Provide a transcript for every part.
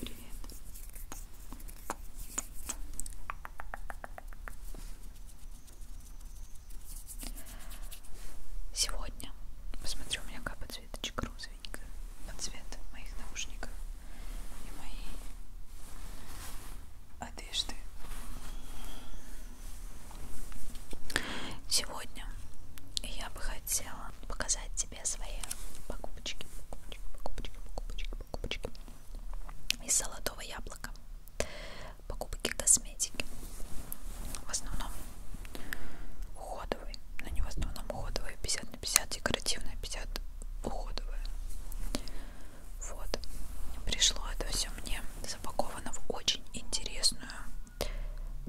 Привет. Сегодня, посмотри, у меня капает цветочек розы быстренько под цвет моих наушников и моей одежды. Сегодня я бы хотела показать тебе свои покупочки, покупочки, покупочки, покупочки, покупочки из золотого яблока. Покупки косметики. В основном уходовые, но не в основном уходовые 50 50 на 50 декоративная, 50 уходовая. Вот. Пришло это все мне запаковано в очень интересную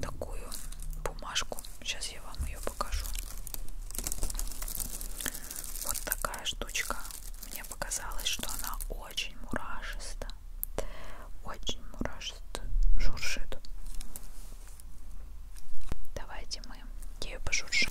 такую бумажку. Сейчас я вам ее покажу. Вот такая штучка. Мне показалось, что она очень мурашиста. Очень мурашиста. Шуршит. Давайте мы ею пошуршим.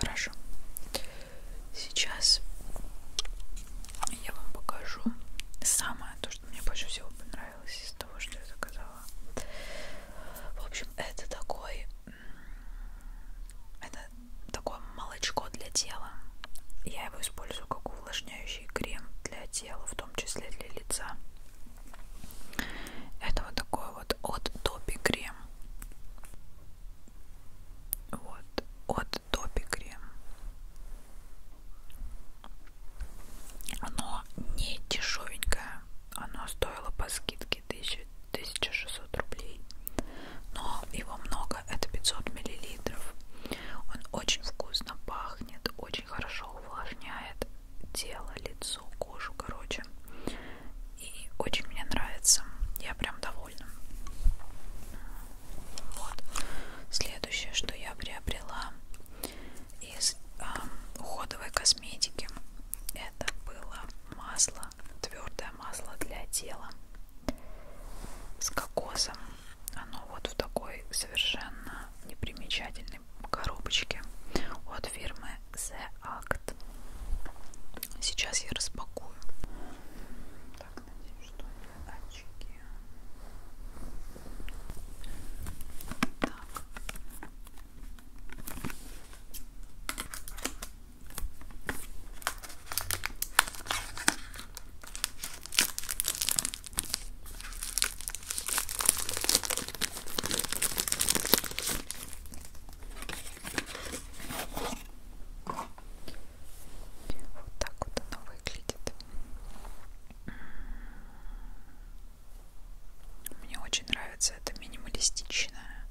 Хорошо. Сейчас я вам покажу самое то, что мне больше всего понравилось из того, что я заказала. В общем, это такой, это такое молочко для тела. Я его использую как увлажняющий крем для тела, в том числе для лица. Это вот такой вот от Топи крем. Вот, от Топи крем. Оно не дешевенькое, оно стоило по скидке 1600 рублей, но его много, это 500 миллилитров. Он очень вкусно пахнет, очень хорошо увлажняет тело, лицо, кожу, короче. И очень мне нравится, я прям довольна. Вот. Следующее, что я приобрела, из э, уходовой косметики это было масло твердое масло для тела с кокосом оно вот в такой совершенно непримечательной коробочке от фирмы The Act сейчас я распакую так надеюсь что пальчики. Так. Вот так вот оно выглядит. Мне очень нравится эта минималистичная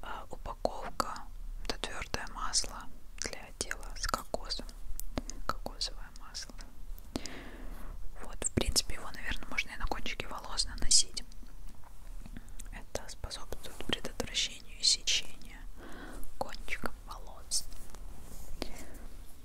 а, упаковка. Это твердое масло для отдела с кокосом. Кокосовое масло. Вот, в принципе, его, наверное, можно и на кончике волос наносить. Это способствует предотвращению сечения кончиков волос.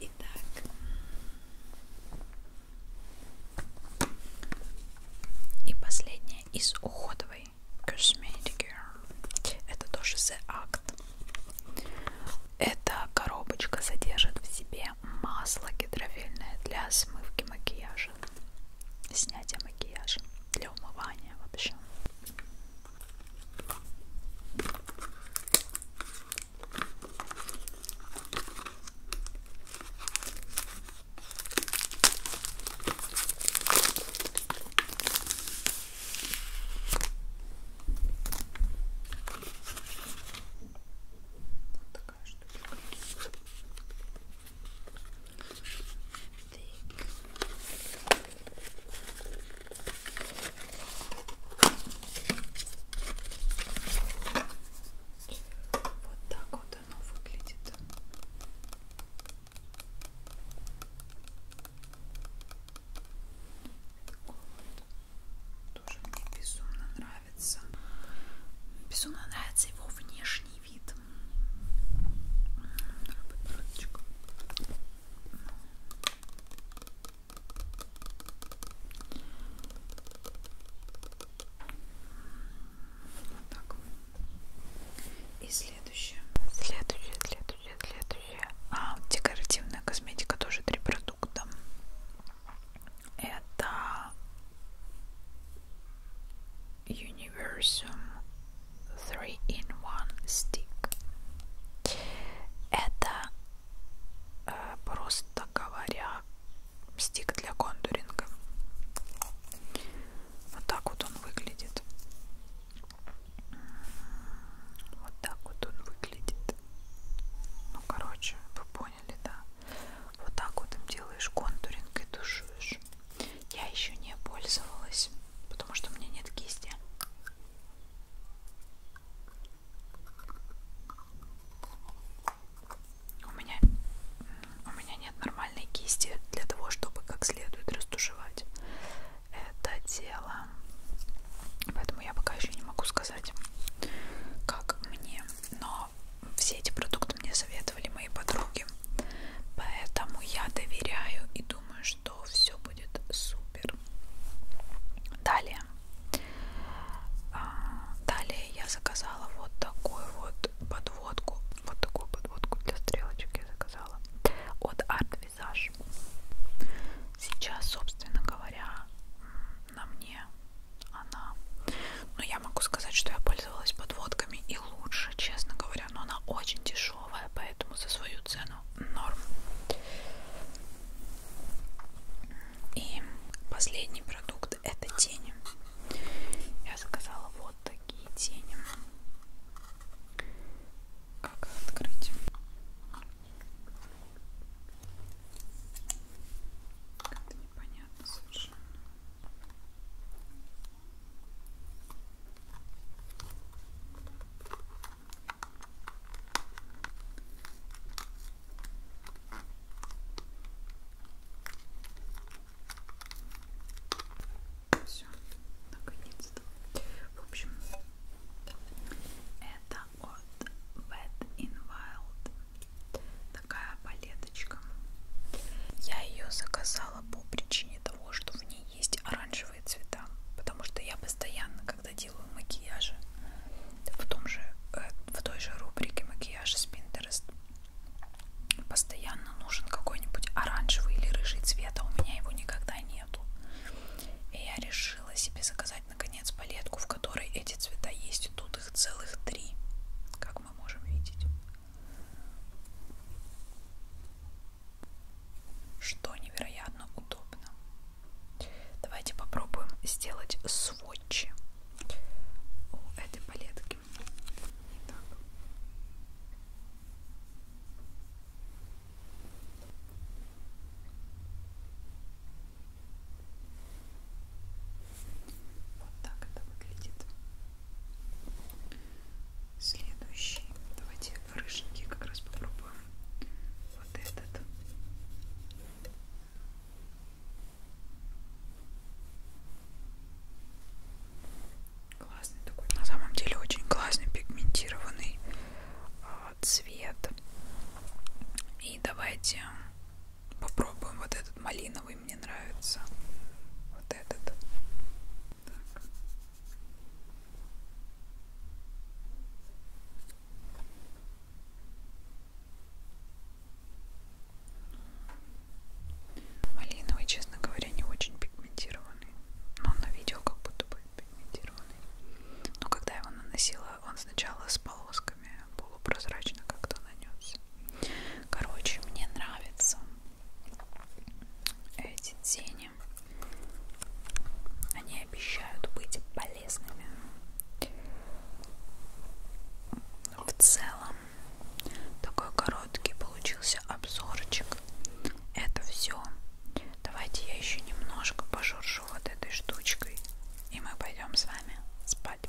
Итак, и последнее из уходовой косметики. Это тоже The Act. Эта коробочка содержит в себе масло гидрофильное для смывки макияжа, снятия макияжа, для умывания вообще. Вот такая штука. Так. Вот так вот оно выглядит. Тоже мне безумно нравится. Безумно нравится его внешний вид. Вот так. И следующее. Следующее, следующее, следующее. А, декоративная косметика тоже три продукта. Это Universum 3 in 1 Stick. Это Э, просто говоря, стик для контуринга. Вот так вот он выглядит. Вот так вот он выглядит. Ну, короче, вы поняли, да? Вот так вот им делаешь контуринг и тушуешь. Я еще не пользовалась, потому что у меня нет кисти. У меня, у меня нет нормальной кисти для того, чтобы как следует растушевать это дело. Поэтому я пока еще не могу сказать, как мне. Но все эти продукты мне советовали мои подруги. Поэтому я доверяю и думаю, что все будет супер. Далее. А, далее я заказала вот такую вот подводку. Вот такую подводку для стрелочек я заказала от Art Visage. Сейчас, собственно говоря, на мне она. Но ну, я могу сказать, что я пользовалась подводками и лучше, честно говоря, но она очень дешевая дешевая, поэтому за свою цену норм. И последний продукт это тени. Я заказала вот такие тени. Как открыть? Как-то непонятно совершенно. Все, наконец-то. В общем, это от Wet in Wild. Такая палеточка. Я ее заказала по причине того, что в ней есть оранжевые цвета, потому что я постоянно, когда делаю макияжи в том же, э, в той же рубрике макияж с Pinterest, постоянно нужен какой-нибудь оранжевый или рыжий цвет, а у меня его никогда нету. И я решила себе заказать наконец палетку, в которой эти цвета есть, и тут их целых три, как мы можем видеть что невероятно удобно. Давайте попробуем сделать сводчи у этой палетки. Итак. Вот так это выглядит. Следующий. Давайте рыженький как раз попробуем вот этот классный такой на самом деле очень классный пигментированный а, цвет и давайте попробуем вот этот малиновый мне нравится вот этот так. Малиновый, честно говоря, не очень пигментированный. Но он на видео как будто бы пигментированный. Но когда я его наносила, он сначала с полосками полупрозрачно как-то нанес. Короче, мне нравится эти тени они обещают быть полезными в целом такой короткий получился обзорчик это все давайте я еще немножко пожуршу вот этой штучкой и мы пойдем с вами спать